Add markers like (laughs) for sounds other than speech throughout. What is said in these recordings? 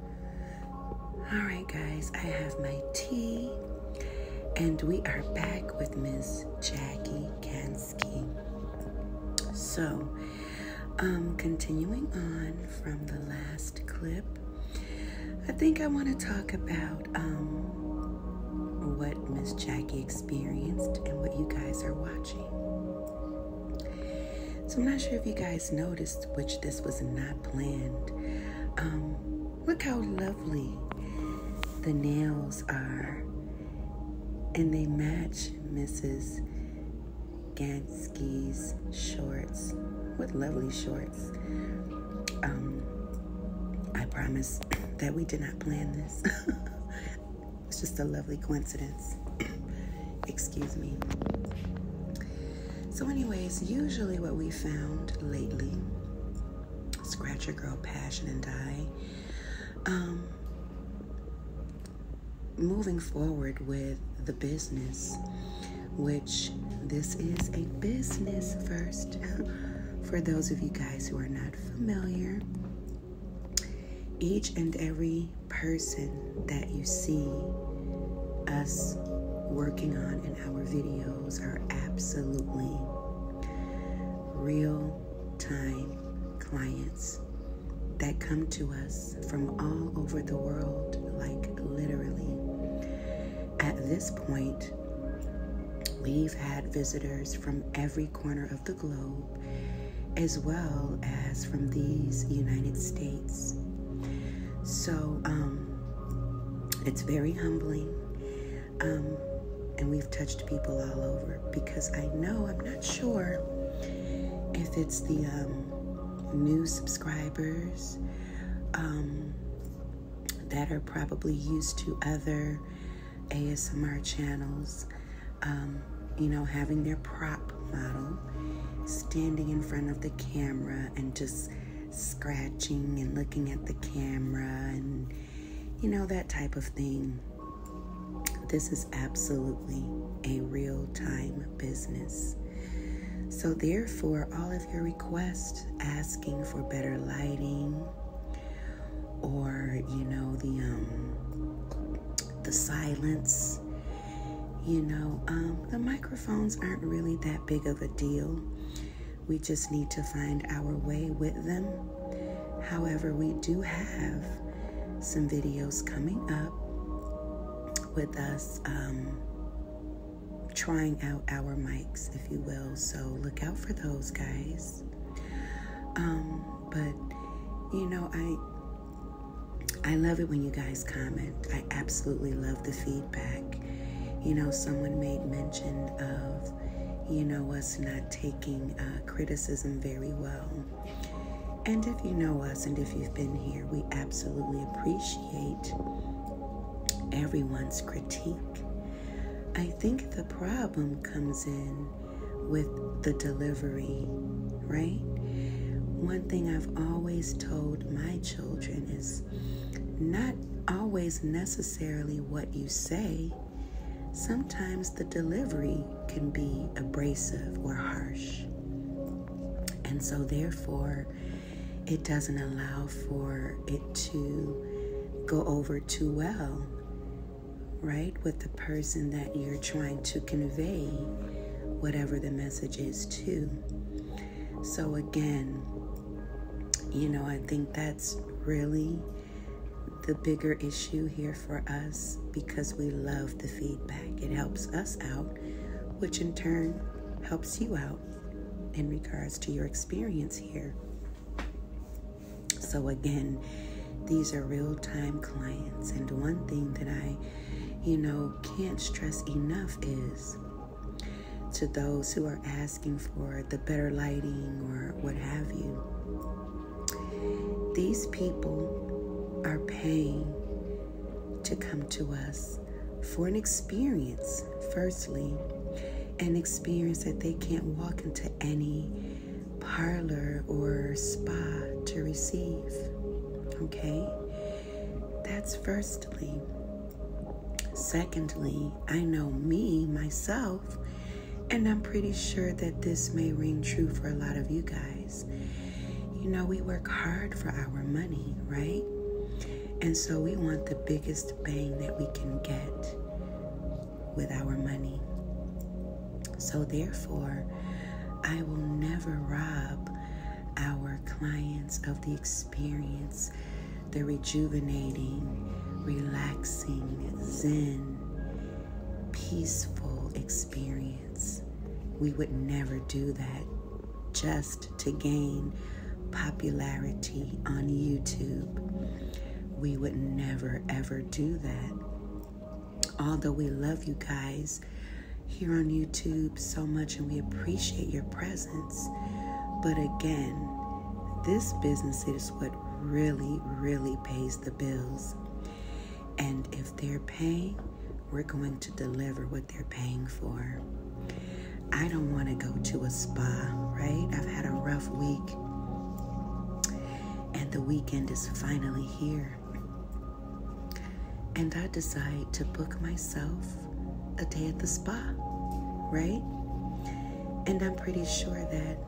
All right, guys, I have my tea, and we are back with Miss Jackie Kansky. So, um, continuing on from the last clip, I think I want to talk about um, what Miss Jackie experienced and what you guys are watching. So I'm not sure if you guys noticed, which this was not planned. Um, look how lovely the nails are. And they match Mrs. Gansky's shorts. What lovely shorts. Um, I promise (coughs) that we did not plan this. (laughs) it's just a lovely coincidence. (coughs) Excuse me. So, anyways, usually what we found lately, Scratch a Girl, Passion and Die, um, moving forward with the business, which this is a business first. (laughs) For those of you guys who are not familiar, each and every person that you see us working on in our videos are absolutely real time clients that come to us from all over the world, like literally. At this point, we've had visitors from every corner of the globe as well as from these United States. So um, it's very humbling. Um, and we've touched people all over because I know I'm not sure if it's the um, new subscribers that are probably used to other ASMR channels you know, having their prop model standing in front of the camera and just scratching and looking at the camera and, you know, that type of thing. This is absolutely a real time business. So, therefore, all of your requests asking for better lighting or, you know, the um, the silence. You know, um, the microphones aren't really that big of a deal. We just need to find our way with them. However, we do have some videos coming up with us um, trying out our mics, if you will. So look out for those, guys. Um, but you know, I I love it when you guys comment. I absolutely love the feedback. You know, someone made mention of, you know, us not taking uh, criticism very well. And if you know us and if you've been here, we absolutely appreciate everyone's critique. I think the problem comes in with the delivery, right? One thing I've always told my children is not always necessarily what you say. Sometimes the delivery can be abrasive or harsh. And so, therefore, it doesn't allow for it to go over too well right, with the person that you're trying to convey whatever the message is to. So, again, you know, I think that's really the bigger issue here for us because we love the feedback. It helps us out, which in turn helps you out in regards to your experience here. So, again, these are real time clients. And one thing that I, you know, can't stress enough is to those who are asking for the better lighting or what have you, these people are paying to come to us for an experience, firstly, an experience that they can't walk into any parlor or spa to receive. Okay? That's firstly. Secondly, I know me, myself, and I'm pretty sure that this may ring true for a lot of you guys. You know, we work hard for our money, right? And so we want the biggest bang that we can get with our money. So, therefore, I will never rob our clients of the experience, the rejuvenating, relaxing, zen, peaceful experience. We would never do that just to gain popularity on YouTube. We would never ever do that. Although we love you guys here on YouTube so much and we appreciate your presence, but again, this business is what really, really pays the bills. And if they're paying, we're going to deliver what they're paying for. I don't want to go to a spa, right? I've had a rough week and the weekend is finally here. And I decide to book myself a day at the spa, right? And I'm pretty sure that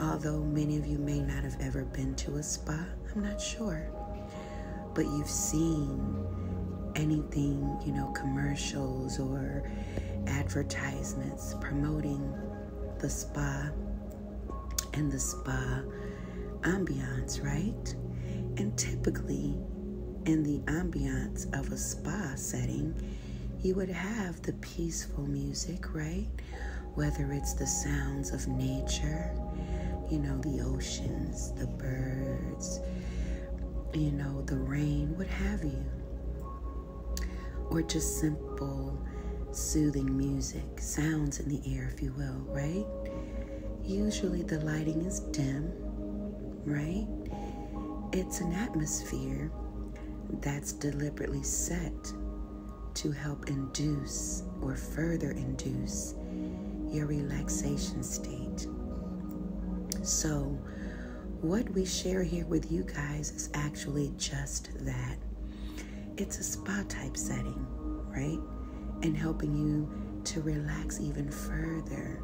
although many of you may not have ever been to a spa, I'm not sure, but you've seen anything, you know, commercials or advertisements promoting the spa and the spa ambiance, right? And typically, in the ambiance of a spa setting, you would have the peaceful music, right? Whether it's the sounds of nature, you know, the oceans, the birds, you know, the rain, what have you or just simple soothing music, sounds in the air, if you will, right? Usually the lighting is dim, right? It's an atmosphere that's deliberately set to help induce or further induce your relaxation state. So, what we share here with you guys is actually just that it's a spa type setting, right? And helping you to relax even further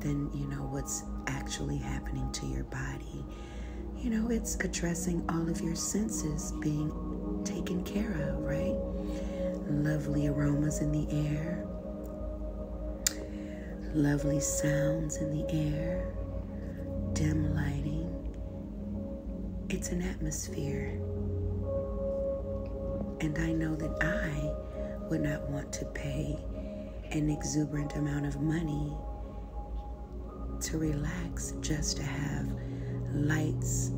than, you know, what's actually happening to your body. You know, it's addressing all of your senses being taken care of, right? Lovely aromas in the air, lovely sounds in the air, dim lighting. It's an atmosphere. And I know that I would not want to pay an exuberant amount of money to relax just to have lights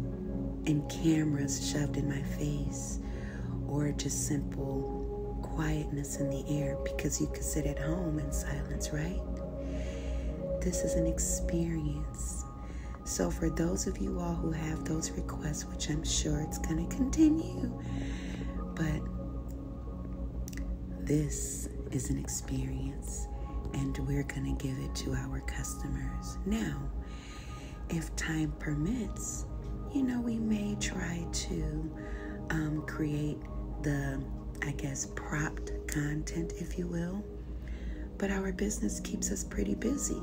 and cameras shoved in my face or just simple quietness in the air because you could sit at home in silence, right? This is an experience. So, for those of you all who have those requests, which I'm sure it's going to continue, but this is an experience and we're going to give it to our customers. Now, if time permits, you know, we may try to um, create the, I guess, propped content, if you will. But our business keeps us pretty busy.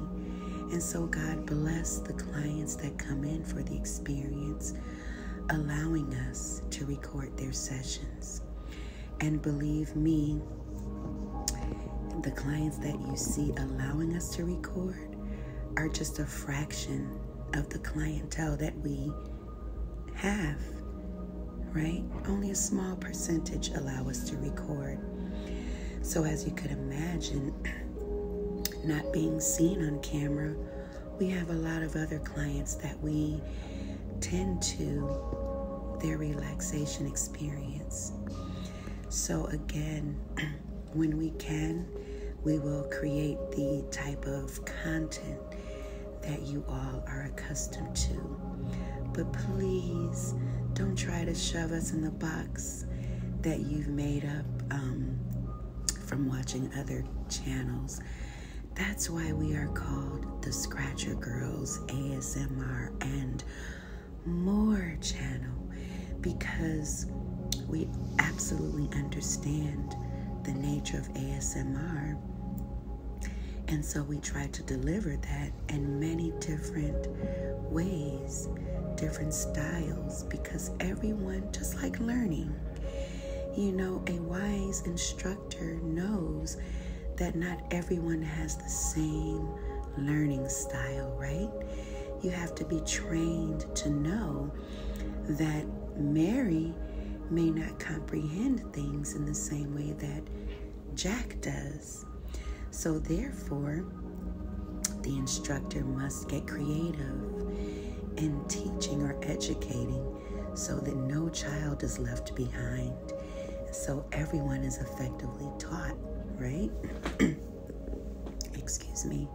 And so God bless the clients that come in for the experience, allowing us to record their sessions. And believe me, the clients that you see allowing us to record are just a fraction of the clientele that we half, right? Only a small percentage allow us to record. So, as you could imagine, (clears throat) not being seen on camera, we have a lot of other clients that we tend to their relaxation experience. So, again, (clears throat) when we can, we will create the type of content that you all are accustomed to. But please don't try to shove us in the box that you've made up um, from watching other channels. That's why we are called the Scratcher Girls ASMR and more channel because we absolutely understand the nature ASMR. And so we try to deliver that in many different ways, different styles, because everyone, just like learning, you know, a wise instructor knows that not everyone has the same learning style, right? You have to be trained to know that Mary may not comprehend things in the same way that Jack does. So, therefore, the instructor must get creative in teaching or educating so that no child is left behind. So, everyone is effectively taught, right? (clears throat) Excuse me.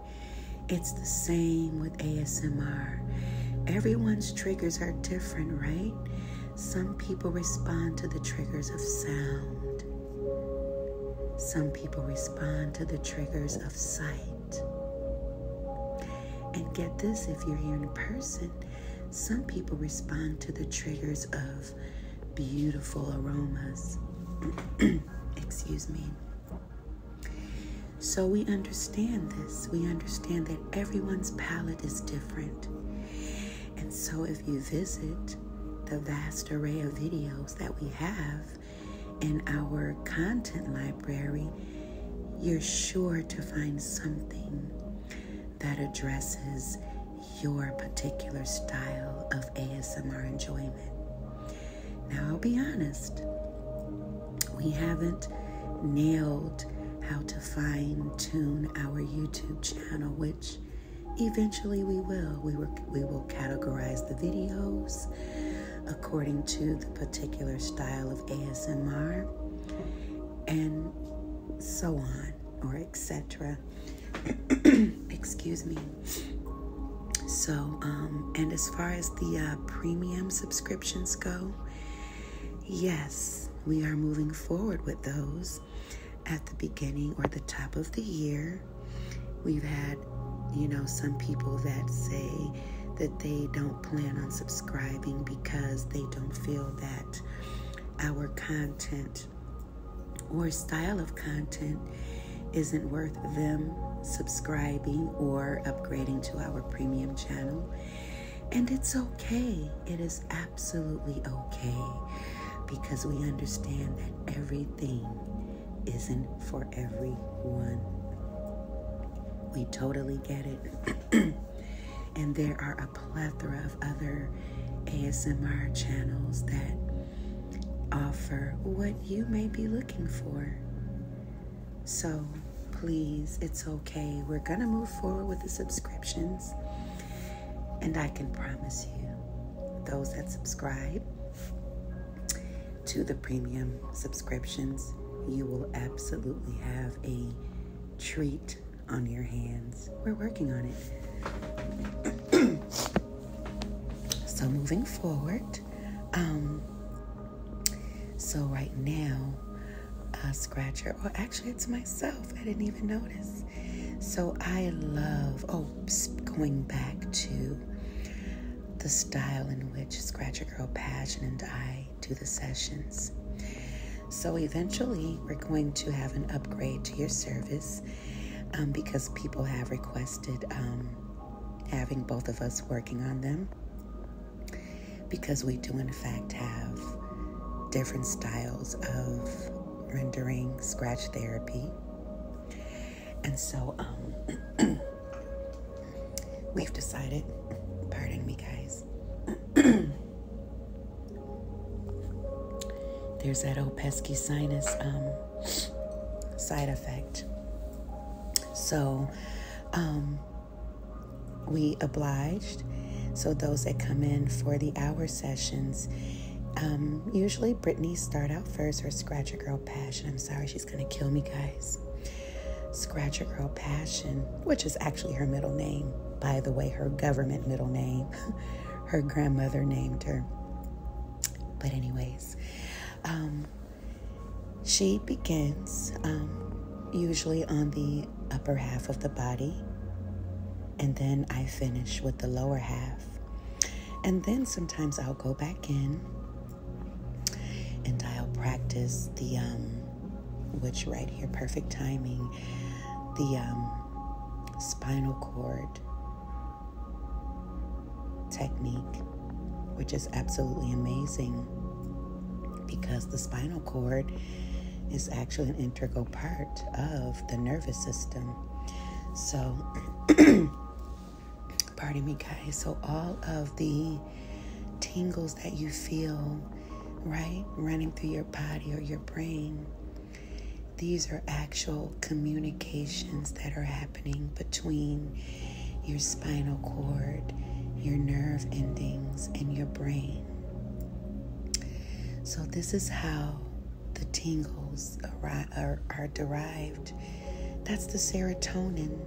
It's the same with ASMR. Everyone's triggers are different, right? Some people respond to the triggers of sound. Some people respond to the triggers of sight. And get this if you're here in person, some people respond to the triggers of beautiful aromas. (clears throat) Excuse me. So we understand this. We understand that everyone's palate is different. And so if you visit the vast array of videos that we have in our content library, you're sure to find something that addresses your particular style of ASMR enjoyment. Now, I'll be honest, we haven't nailed how to fine tune our YouTube channel, which eventually we will. We, were, we will categorize the videos according to the particular style of ASMR and so on or etc (clears throat) excuse me so, um, and as far as the uh, premium subscriptions go, yes, we are moving forward with those at the beginning or the top of the year. We've had, you know, some people that say that they don't plan on subscribing because they don't feel that our content or style of content isn't worth them subscribing or upgrading to our premium channel. And it's okay. It is absolutely okay because we understand that everything isn't for everyone. We totally get it. (clears throat) and there are a plethora of other ASMR channels that offer what you may be looking for. So, please, it's okay. We're going to move forward with the subscriptions. And I can promise you, those that subscribe to the premium subscriptions, you will absolutely have a treat on your hands. We're working on it. (clears throat) So moving forward, um, so right now, a uh, scratcher, or actually it's myself. I didn't even notice. So I love, oh, going back to the style in which Scratcher Girl Passion and I do the sessions. So eventually, we're going to have an upgrade to your service um, because people have requested um, having both of us working on them because we do, in fact, have different styles of rendering scratch therapy. And so um, (clears throat) we've decided, pardon me, guys. (clears throat) There's that old pesky sinus um, side effect. So um, we obliged. So those that come in for the hour sessions, um, usually Brittany start out first her scratch a girl passion. I'm sorry, she's gonna kill me, guys. Scratch a girl passion, which is actually her middle name, by the way, her government middle name. (laughs) her grandmother named her. But, anyways, um, she begins um, usually on the upper half of the body, and then I finish with the lower half. And then sometimes I'll go back in and I'll practice the, um, which right here, perfect timing, the spinal cord technique, which is absolutely amazing because the spinal cord is actually an integral part of the nervous system. So, (clears throat) pardon me, guys. So, all of the tingles that you feel, right, running through your body or your brain these are actual communications that are happening between your spinal cord, your nerve endings, and your brain. So, this is how the tingles are, derived. That's the serotonin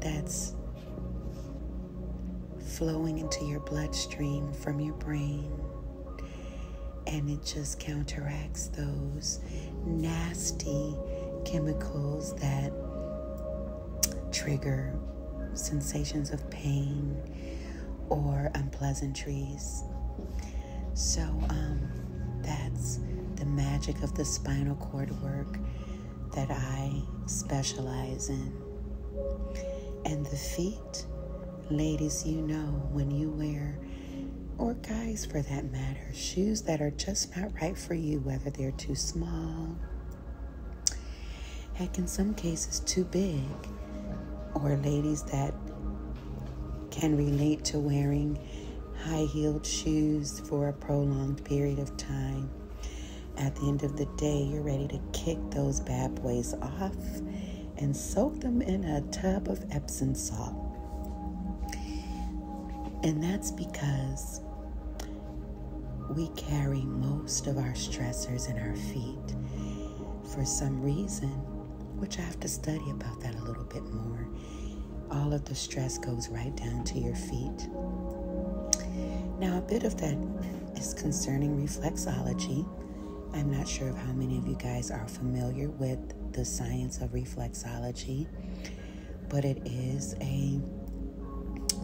that's flowing into your bloodstream from your brain and it just counteracts those nasty chemicals that trigger sensations of pain or unpleasantries. So, um, that's the magic of the spinal cord work that I specialize in. And the feet Ladies, you know when you wear, or guys for that matter, shoes that are just not right for you, whether they're too small, heck, in some cases, too big, or ladies that can relate to wearing high heeled shoes for a prolonged period of time. At the end of the day, you're ready to kick those bad boys off and soak them in a tub of Epsom salt. And that's because we carry most of our stressors in our feet for some reason, which I have to study about that a little bit more. All of the stress goes right down to your feet. Now, a bit of that is concerning reflexology, I'm not sure of how many of you guys are familiar with the science of reflexology, but it is a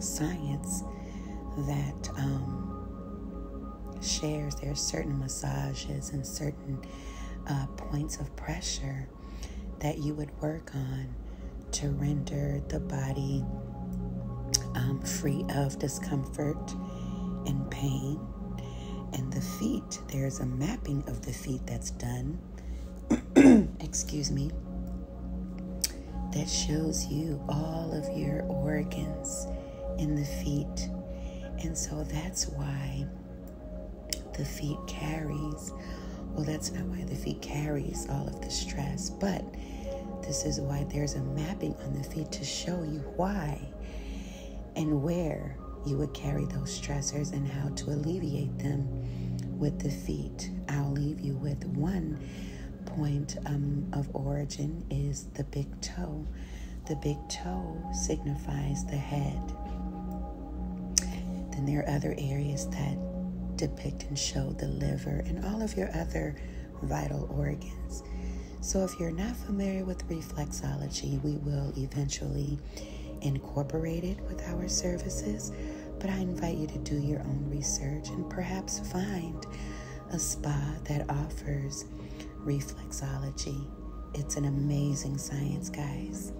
science that um, shares there are certain massages and certain uh, points of pressure that you would work on to render the body um, free of discomfort and pain. And the feet, there's a mapping of the feet that's done. (clears throat) Excuse me. That shows you all of your organs in the feet. And so that's why the feet carries. Well, that's not why the feet carries all of the stress, but this is why there's a mapping on the feet to show you why and where you would carry those stressors and how to alleviate them with the feet. I'll leave you with one point um, of origin is the big toe. The big toe signifies the head. Then there are other areas that depict and show the liver and all of your other vital organs. So, if you're not familiar with reflexology, we will eventually incorporate it with our services. But I invite you to do your own research and perhaps find a spa that offers reflexology. It's an amazing science, guys.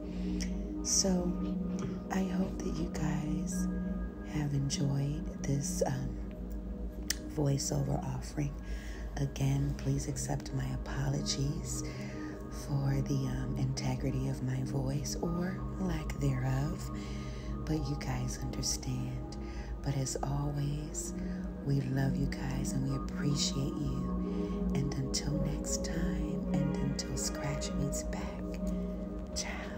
So, I hope that you guys have enjoyed this. Um, voiceover offering. Again, please accept my apologies for the um, integrity of my voice or lack thereof, but you guys understand. But as always, we love you guys and we appreciate you. And until next time, and until Scratch meets back, ciao.